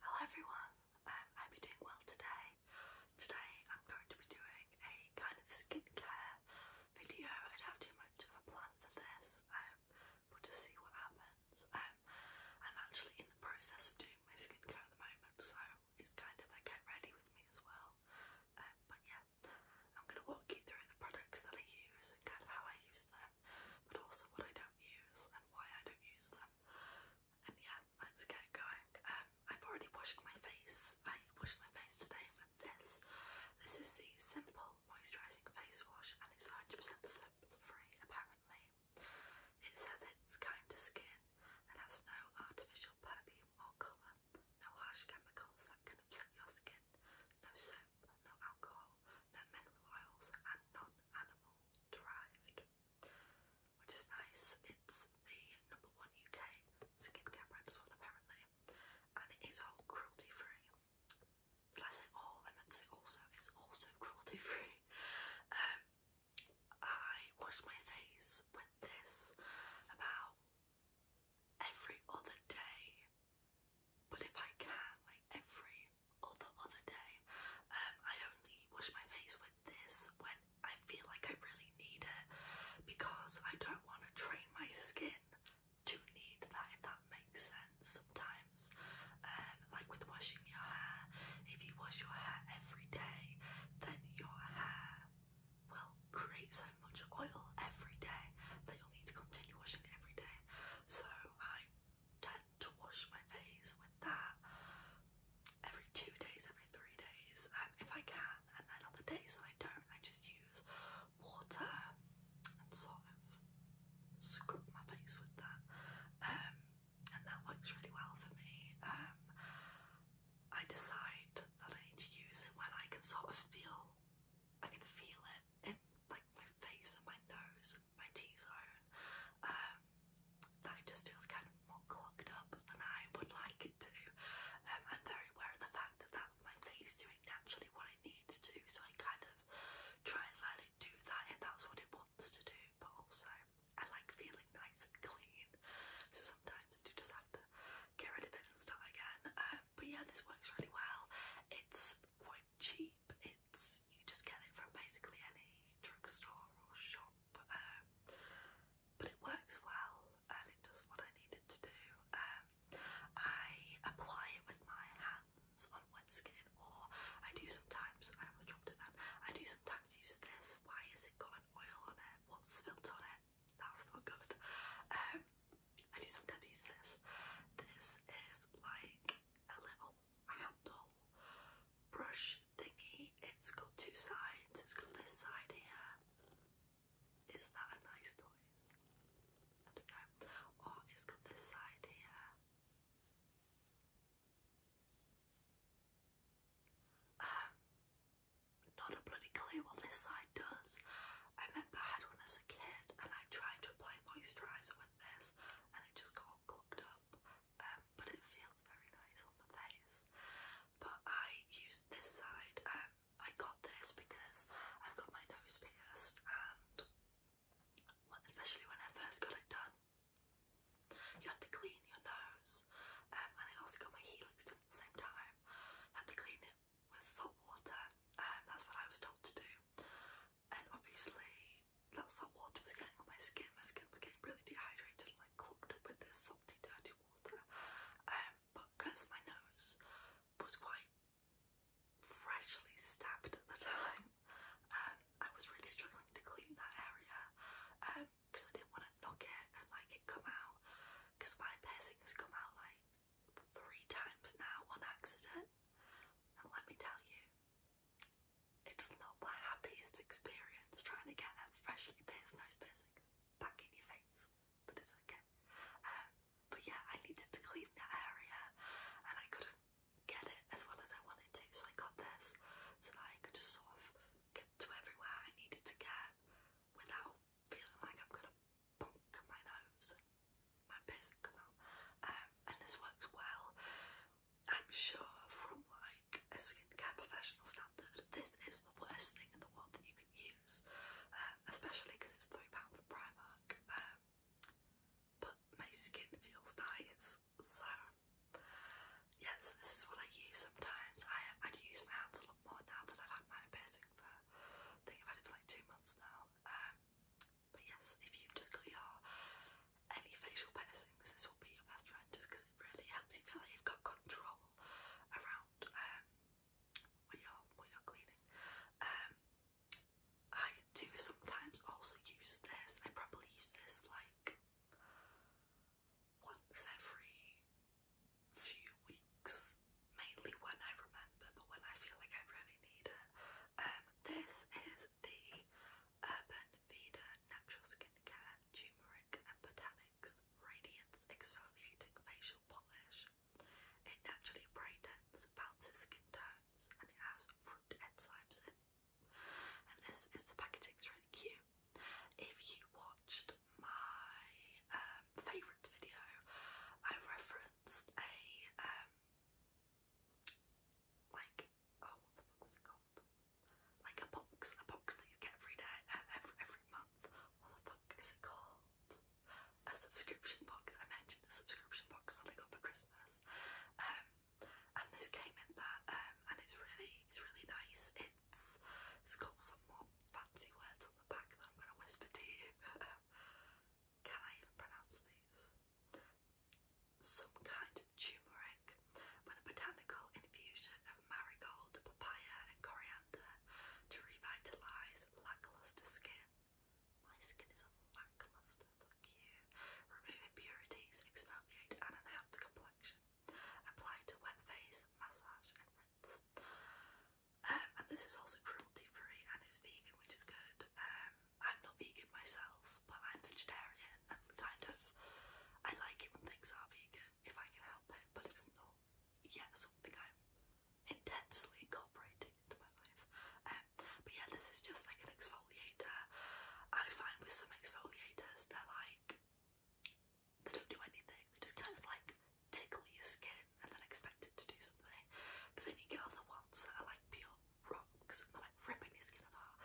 Hello everyone, um, I you doing well today. Today I'm going to be doing a kind of skincare video. I don't have too much of a plan for this, um, but to see what happens. Um, I'm actually in the process of doing my skincare at the moment, so it's kind of a get ready with me as well. Um, but yeah, I'm going to walk you through the products that I use and kind of how I use them but also what I don't use and why I don't use them. And yeah, let's get going. Um, I've already washed my face. I washed my face today with this. This is the Simple Moisturising Face Wash and it's 100% soap-free apparently. It says it's kind to skin and has no artificial perfume or colour, no harsh chemicals that can upset your skin, no soap, no alcohol, no mineral oils and non-animal derived, which is nice. It's the number one UK skincare brand as well, apparently, and it is all cruelty free. Did I all? I meant to also. It's also cruelty free. Um, I wash my face with this about every other day, but if I can, like every or the other day. Um, I only wash my face with this when I feel like I really need it because I don't want to train my skin to need that, if that makes sense sometimes. Um, like with washing your hair, if you wash your hair every day, then your hair will create so much oil every day that you'll need to continue washing every day. So I don't to wash my face with that every two days, every three days, um, if I can. And then on the days that I don't, I just use water and sort of scrub my face with that. Um, and that works really well for me. Um, I decide that I need to use it when I can sort of feel, I can feel it in like my face and my nose my T-zone um, that it just feels kind of more clogged up than I would like it to. Um, I'm very aware of the fact that that's my face doing naturally what it needs to do, so I kind of try and let it do that if that's what it wants to do, but also I like feeling nice and clean, so sometimes I do just have to get rid of it and start again. Um, but yeah, this works really well. It's quite cheap. It you just get it from basically any drugstore or shop, um, but it works well and it does what I need to do. Um, I apply it with my hands on wet skin, or I do sometimes. I almost dropped it then. I do sometimes use this. Why has it got an oil on it? What's spilled on it? That's not good. Um, I do sometimes use this. This is like a little handle brush thingy. It's got two sides. It's got this side here. Is that a nice noise? I don't know. Or oh, it's got this side here. Um, not a bloody clue what this side does. I remember I had one as a kid and I tried to apply moisturiser with this and it just got all clogged up. Um, but it feels very nice on the face. But I used this side. Um, I got this because I've got my nose pierced, and especially when I first got it done, you have to clean your nose. Um, and I also got my helix done at the same time. You have to clean it with salt water, and that's what I was told to do and obviously that salt water was getting on my skin. My skin was getting really dehydrated like clogged up with this salty, dirty water. Um, but because my nose was quite freshly stabbed at the time, um, I was really struggling to clean that area because um, I didn't want to knock it and like it come out. Because my piercing has come out like three times now on accident, and let me tell you, it's not my happiest experience trying to get a freshly pierced nose piercing back in your face, but it's okay. Um, but yeah, I needed to clean that area and I couldn't get it as well as I wanted to, so I got this so that I could just sort of get to everywhere I needed to get without feeling like I'm gonna bonk my nose my piercing um, and this works well I'm sure from like a skincare professional standard, this is the worst thing in the world that you can use, um, especially because it's £3 for Primark. Um, but my skin feels nice, so yeah, so this is what I use sometimes. I, I do use my hands a lot more now that I've had my piercing for, think i it for like two months now. Um, but yes, if you've just got your any facial piercings, this will be your best friend just because it really helps you feel like you've got control around um what you're what you're cleaning. Um I do sometimes also use this. I probably use this like once every few weeks, mainly when I remember, but when I feel like I really need it. Um, this is the Urban Veda Natural Care Turmeric and Botanics, Radiance Exfoliating Facial Polish. It naturally brightens, balances skin tones, and it has fruit enzymes And this is the packaging's really cute. If you watched my um, video, I referenced a um, like oh what the fuck was it called? month? Like a box, a box that you get every day, uh, every, every month. What the fuck is it called? A subscription box. I mentioned a subscription box that I got for Christmas. Um, and this came in that, um, and it's really, it's really nice. It's, it's got some more fancy words on the back that I'm gonna whisper to you. Can I even pronounce these? some kind of turmeric, with a botanical infusion of marigold, papaya, and coriander to revitalise lacklustre skin. My skin is a lacklustre, fuck you. Remove impurities, exfoliate, and enhance complexion. Apply to wet face, massage, and rinse. Um, and this is also cruelty free and it's vegan, which is good. Um, I'm not vegan myself, but I'm vegetarian and kind of I like it when things are vegan if I can help it, but it's not yet something I'm intensely incorporating into my life. Um, but yeah, this is just like an exfoliator. I find with some exfoliators, they like they don't do anything, they just kind of like tickle your skin and then expect it to do something. But then you get other ones that are like pure rocks and they're like ripping your skin apart.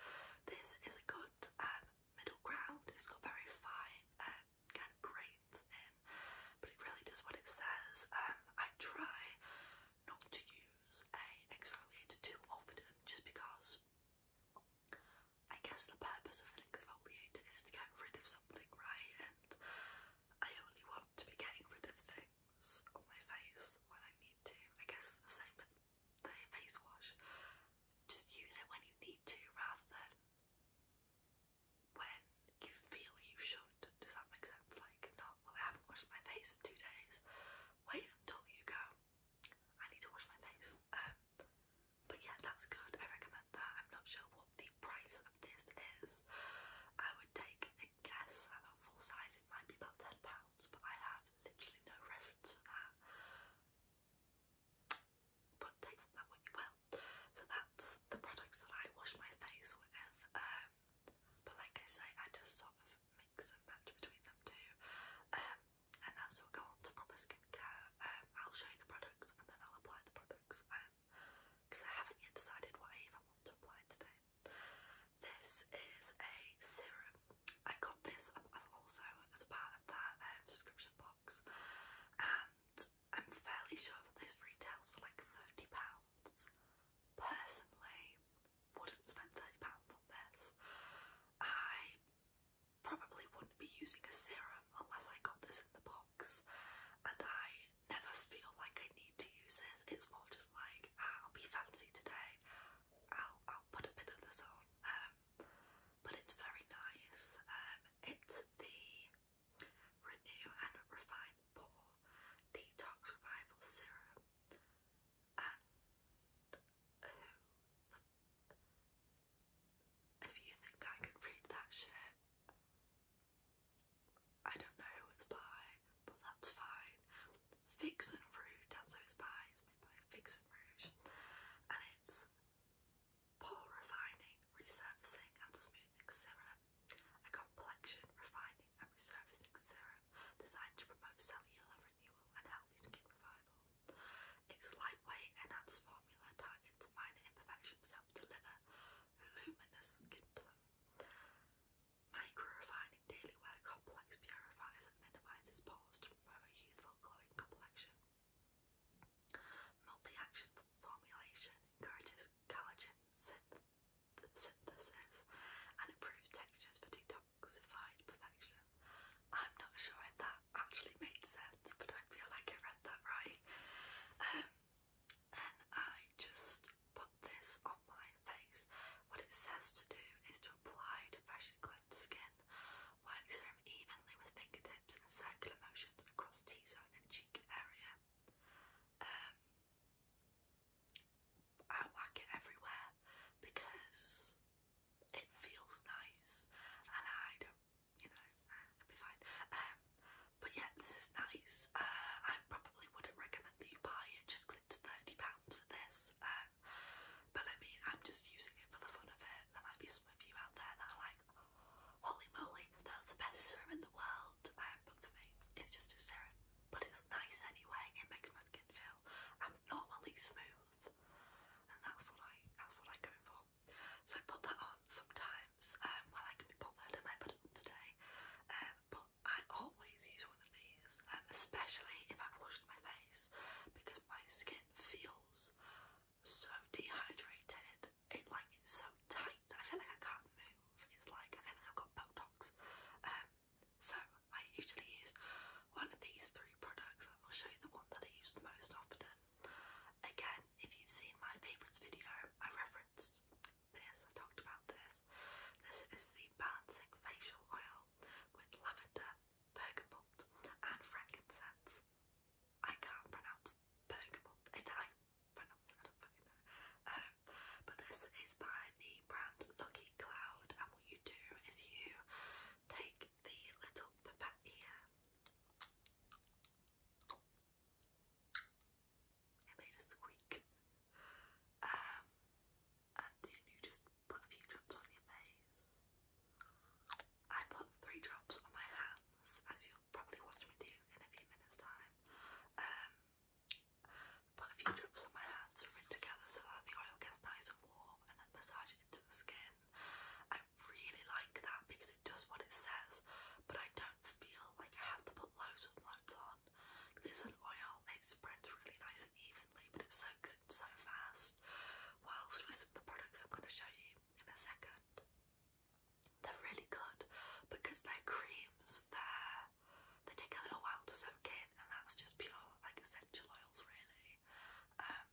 This is a good um, middle ground. It's got very fine um, kind of grains in, but it really does what it says. Um, I try not to use a exfoliator too often just because I guess the purpose of an exfoliator is to get rid of something, right? And I only want to be getting rid of things on my face when I need to. I guess same with the face wash. Just use it when you need to rather than when you feel you should. Does that make sense? Like, not, well, I haven't washed my face in two days. Wait until you go. I need to wash my face. Um, but yeah, that's good. I recommend that. I'm not sure what the price of this is. I would take a guess at a full size, it might be about £10 but I have literally no reference for that. But take from that what you will. So that's the products that I wash my face with. Um, but like I say, I just sort of mix and match between them two. Um, and now we'll go on to proper skincare. Um, I'll show you the products and then I'll apply the products. because I haven't yet decided what I even want to apply today. This is a serum I got this also as part of that um, subscription box, and I'm fairly sure that this retails for like thirty pounds. Personally, wouldn't spend thirty pounds on this. I probably wouldn't be using a serum unless I got this in the box, and I never feel like I need to use this. It's more just like ah, I'll be fancy today. I'll I'll put a bit of this on um, but it's very nice. Um, it's the Renew and Refine Pore Detox Revival Serum if you think I can read that shit, I don't know who it's by, but that's fine. Fix and Rouge, that's how made by Fix and Rouge, and it's pore refining, resurfacing and smoothing serum, a complexion refining and resurfacing serum designed to promote cellular renewal and healthy skin revival. Its lightweight enhanced formula targets minor imperfections to deliver luminous skin tone. Micro refine daily wear complex purifiers and minimises pores to promote youthful glowing complexion. Multi-action formulation encourages collagen synthesis and improves textures for detoxified perfection. I'm not sure if that actually made sense, but I feel like I read that right. Um, and I just put this on my face. What it says to do is to apply to freshly skin, works serum evenly with fingertips and circular motions across T-zone and cheek area. Um, I whack it everywhere because it feels nice and I don't, you know, I'll be fine. Um, but yeah, this is nice. Uh, I probably wouldn't recommend that you buy it just £30 for this. Um, but I mean, I'm just using it for the fun of it. There might be some of you out there that are like, holy moly, that's the best serum in the world. Um, but for me, it's just a serum. But it's nice anyway, it makes my skin feel I'm abnormally smooth. And that's what I that's what I go for. So I put that on sometimes, um, when I can be bothered and I put it on today. Um, but I always use one of these, um, especially if I've washed my face because because my skin feels so dehydrated. It like it's so tight. I feel like I can't move. It's like I feel like I've got Botox. Um, so I usually use one of these three products. I'll show you the one that I use the most often. Again, if you've seen my favourites video, I referenced this. I talked about this. This is the Balancing Facial Oil with Lavender bergamot, and frankincense. I can't pronounce bergamot. Is I pronounce it? I um, but this is by the brand Lucky Cloud, and what you do is you take the little pipette here. It made a squeak. Um, and then you just put a few drops on your face. I put three drops on my hands, as you'll probably watch me do in a few minutes' time. Um, put a few drops on my hands to rinse together so that the oil gets nice and warm, and then massage it into the skin. I really like that because it does what it says, but I don't feel like I have to put loads and loads on. It's an oil, it spreads really nice and evenly, but it soaks in so fast whilst with the products I'm going to show you in a second. They're really good because they're creams, they they take a little while to soak in and that's just pure like essential oils really. Um,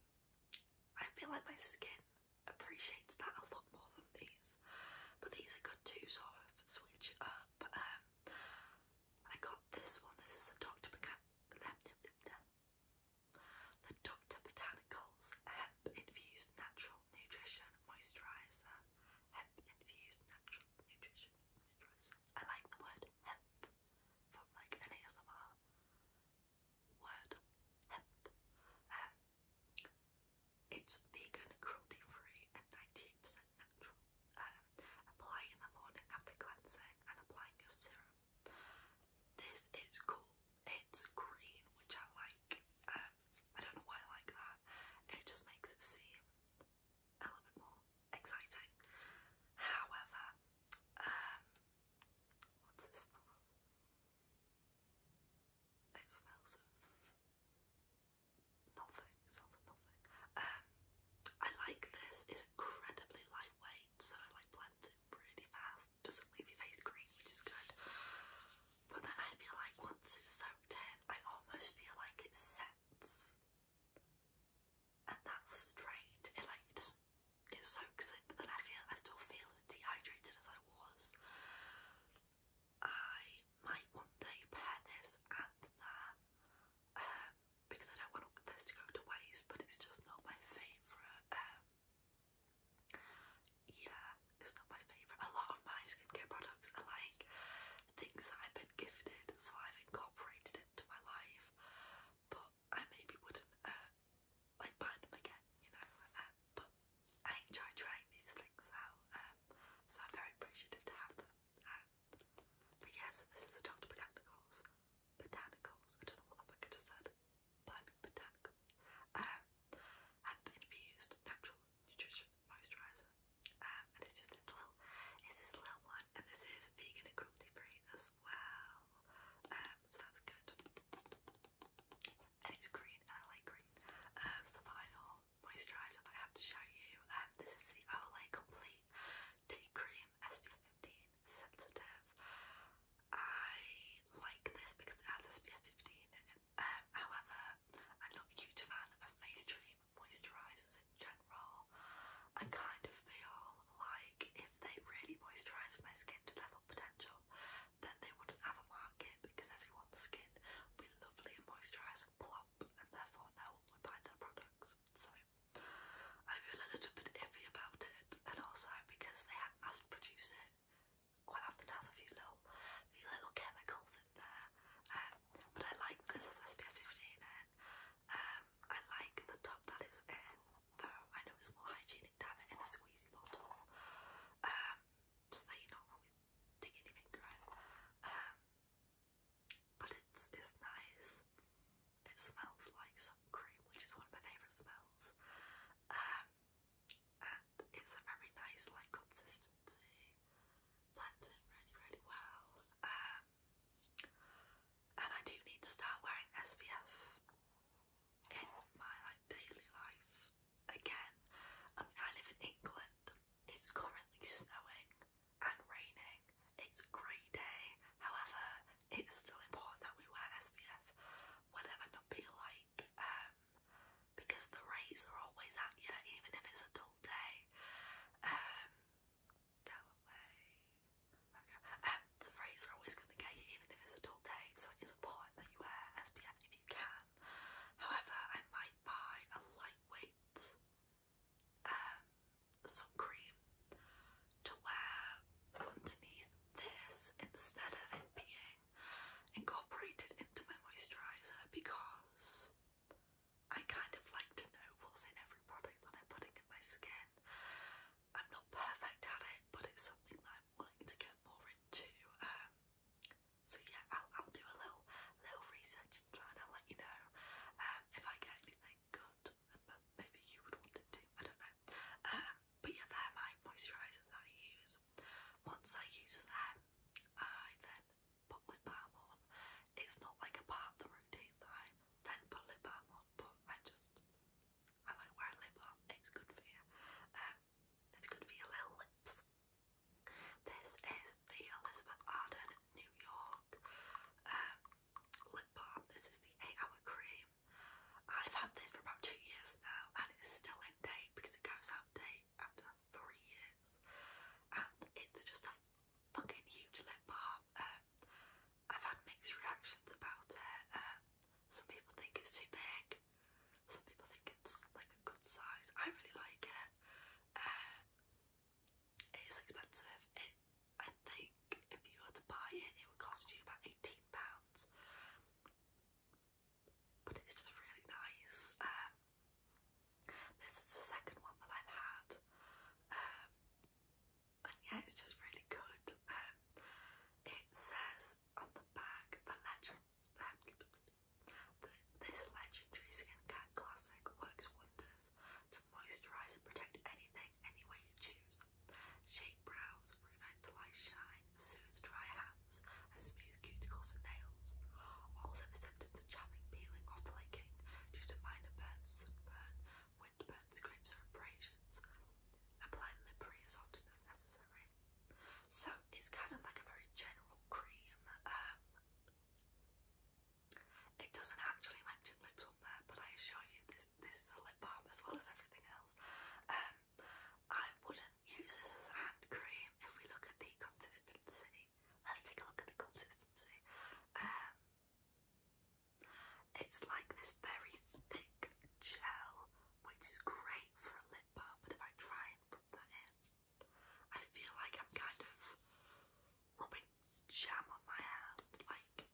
I feel like my skin appreciates that a lot more than these but these are good to sort switch up. Um, I got this one, this is a Dr. Maca the Dr. Botanicals Hemp Infused Natural Nutrition Moisturizer. Hemp Infused Natural Nutrition Moisturizer. I like the word hemp from like an ASMR word. Hemp. Um, it's vegan, cruelty free, and 98% natural. Um, apply in the morning after cleansing and applying your serum this is cool. It's green, which I like. Um, I don't know why I like that. It just makes it seem a little bit more exciting. However, um, what's this smell It smells of nothing. It smells of nothing. Um, I like this. It's incredibly light so it like blends in pretty fast. Doesn't leave your face green, which is good. But then I feel like once it's soaked in, I almost feel like it sets. And that's straight. It like it does it soaks in, but then I feel I still feel as dehydrated as I was. I might one day pair this and that. Uh, um, because I don't want this to go to waste, but it's just not my favourite. Um, yeah, it's not my favourite. A lot of my skincare products are like things that I've been gifted, so I've incorporated into my life, but I maybe wouldn't uh, like buy them again, you know. Um, but I enjoy trying these things out, um, so I'm very appreciative to have them. Um, but yes, this is a Dr. Botanicals botanicals. I don't know what the fuck I just said, but botanical. Um, and infused natural nutrition moisturizer. Um, and it's just little, it's this little one, and this is vegan and cruelty free as well. Um, so that's good. And it's green, and I like green. Um, it's the final moisturizer that I have to show you. Um, this is the Olay Complete Day Cream SPF 15 sensitive. I like this because it has SPF 15 in it. Um, however, I'm not a huge fan of mainstream moisturisers in general. I kind of feel like if they really moisturised my skin to level potential, then they wouldn't have a market because everyone's skin would be lovely and moisturised and plump, and therefore no one would buy their products. So I feel a little bit iffy about it, and also because they have to produce it, quite often has a few little, few little chemicals in there. Um, but I like this as SPF 15 in. Um, I like the top that is in, though I know it's more hygienic to have it in a squeezy bottle, um, so that you're not always digging your um, but it's, it's nice. It smells like soap cream, which is one of my favourite smells. Um, and it's a very nice like consistency. Blends in really, really well. Um, and I do need to start wearing SPF in my like daily life again. I mean, I live in England. It's currently snowing and raining, it's a great day, however, it's still important that we wear SPF whenever not be like, um, because the rays are always at you, even if it's a dull day. Um, the um, rays are always going to get you, even if it's a dull day, so it is important that you wear SPF if you can. However, I might buy a lightweight some cream to wear underneath this instead of it being incorporated into my moisturiser because I kind of like to know what's in every product that I'm putting in my skin. I'm not perfect at it, but it's something that I'm wanting to get more into. Um, so yeah, I'll, I'll do a little little research and I'll let you know um, if I get anything good but maybe you would want it to, I don't know. Um, but yeah, they my moisturisers that I use. Once I use them, I then put lip balm on. It's not like a part of the routine that I then put lip balm on, but I just, I like wearing lip balm, it's good for you. Um, it's good for your lips. This is the Elizabeth Arden New York um, lip balm. This is the 8 hour cream. I've had this for about two years now and it's still in date because it goes out date after three years. And it's just a fucking huge lip balm. Um, I've had mixed reactions about it. Um, some people think it's too big. Some people think it's like a good size. I really like it. Uh, it is expensive. I think if you were to buy it, it would cost you about eighteen pounds. But it's just really nice. Um, this is the second one that I've had, um, and yeah, it's just really good. Um, it says on the back the legend. Um, this legendary skincare classic works wonders to moisturise and protect anything any way you choose. Shape brows, revitalize shine, soothe dry hands, and smooth cuticles and nails. Also the symptoms chapping, peeling or flaking due to minor burns, sunburn, windburn, scrapes or abrasions. Apply lippery as often as necessary. So it's kind of like a very general cream. Um, it doesn't actually mention lips on there, but I assure you this this lip balm as well as everything else. Um, I wouldn't use this as a hand cream if we look at the consistency. Let's take a look at the consistency. Um, it's like this very thick gel, which is great for a lip balm, but if I try and rub that in, I feel like I'm kind of rubbing jam on my hand. Like,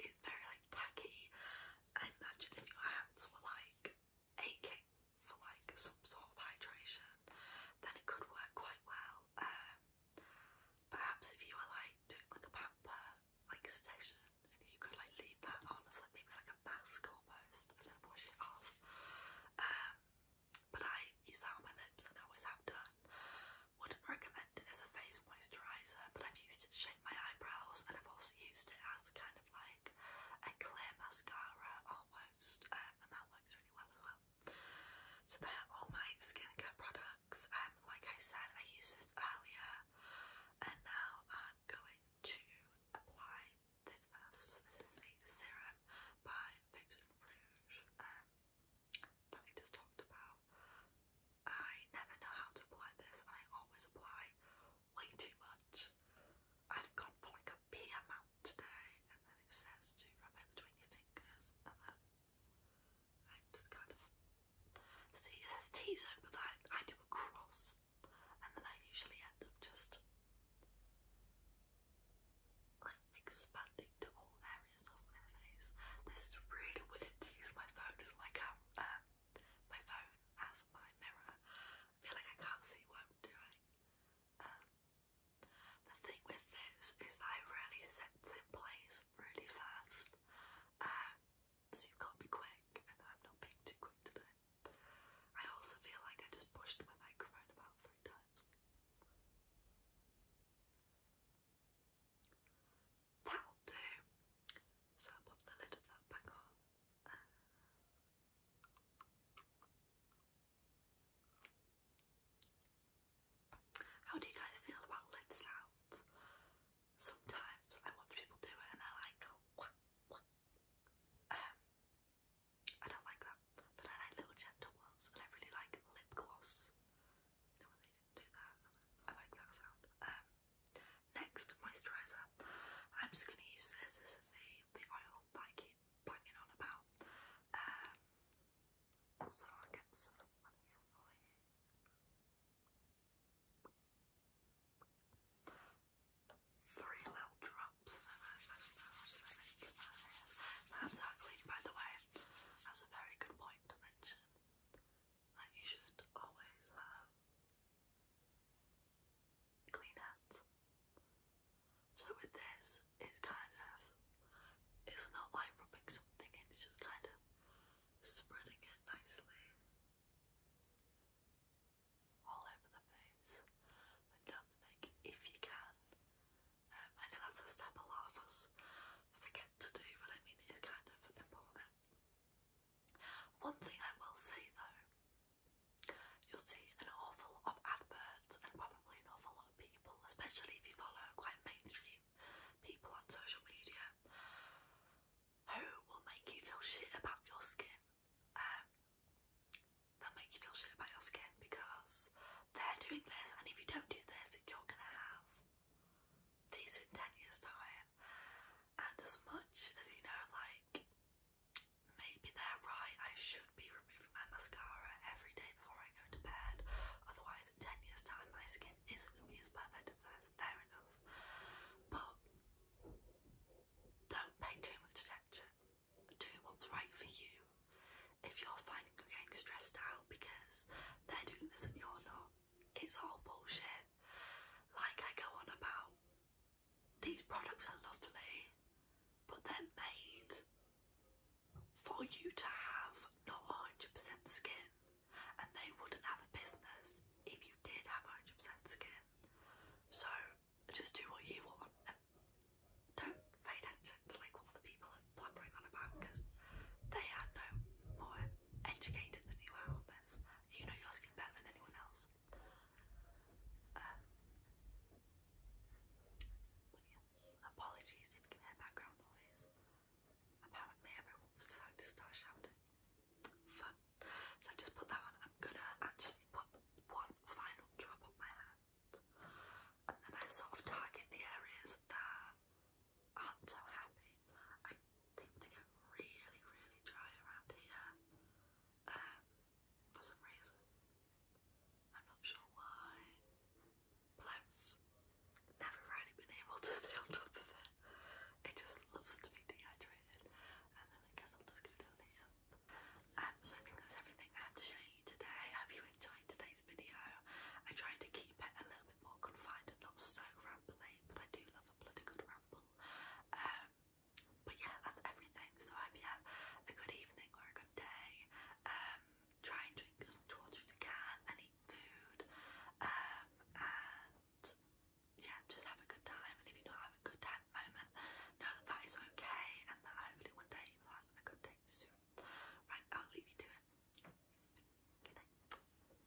it's very like tacky. I imagine if your hands were like aching for like some sort of hydration, then it could work quite well. Um, perhaps if you were like doing like a pamper like session you could like leave that on as like maybe like a mask almost and then wash it off. Um, but I use that on my lips and I always have done. Wouldn't recommend it as a face moisturizer, but I've used it to shape my eyebrows, and I've also used it as kind of like a clear mascara almost, um, and that works really well as well. So there are all my skincare products. Um, like I said, I used this earlier, and now I'm going to apply this first. This is the serum by Fix and Rouge um, that I just talked about. I never know how to apply this and I always apply way too much. I've gone like a big amount today and then it says to rub it between your fingers and then I just kind of see it says T-zone but I, do a cross and then I usually end up just like expanding to all areas of my face. This is really weird to use my phone as my cam um, my phone as my mirror. I feel like I can't see what I'm doing. Um, the thing with this is that it really sets in place really fast. Um, so you've got to be quick and I'm not being too quick today. I also feel like I just pushed my microphone about three times. That'll do. So I'll pop the lid of that back on. How do you guys feel about lid sounds? Sometimes I watch people do it and they like, Um, I don't like that, but I like little gentle ones and I really like lip gloss. You know when do that? I like that sound. Um, Next, moisturiser. I'm just going to use this. This is the, the oil I keep banging on about. Um, so i get some money for you. Three little drops. That's actually, by the way, that's a very good point to mention that you should always have clean hands. So with this, it's kind of, it's not like rubbing something it's just kind of spreading it nicely all over the face and down if you can. Um, that's a step a lot of us forget to do, but I mean it is kind of important. One thing I will say though, you'll see an awful lot of adverts and probably an awful lot of people, especially if you follow quite mainstream people on social media, who will make you feel shit about your skin. Um, they'll make you feel shit about your skin because they're doing this, and if you don't do this, you're gonna have these in 10 years' time. And as much as you know, like maybe they're right, I should be removing my mascara every day before I go to bed. Otherwise, in ten years' time, my skin isn't gonna be as perfect as theirs. Fair enough, but don't pay too much attention. Do what's right for you. If you're finding you're getting stressed out because they're doing this and you're not, it's all bullshit. Like I go on about, these products are lovely, but they're made for you to have not 100% skin, and they wouldn't have a business if you did have 100% skin. So just do what you want don't pay attention to like what the people are blabbering on about because they are no more educated than you are on this you know your skin better than anyone else. Um, apologies if you can hear background noise. Apparently everyone's decided to start shouting. So I just put that on. I'm gonna actually put one final drop on my hand. And then I sort of target the areas that aren't so happy. I seem to get really, really dry around here um, for some reason. I'm not sure why, but I've never really been able to stay on top of it. It just loves to be dehydrated, and then I guess I'll just go down here. Um, so I think that's everything I have to show you today. I hope you enjoyed today's video. I tried to keep it a little bit more confined and not so rambly, but I do love a a bloody good ramble. Um, but yeah, that's everything. So I you have a good evening or a good day. Um, try and drink as much water as you can and eat food. Um, and yeah, just have a good time. And if you're not having a good time moment, know that is okay and that one day you have a good day soon. Right, I'll leave you to it. Good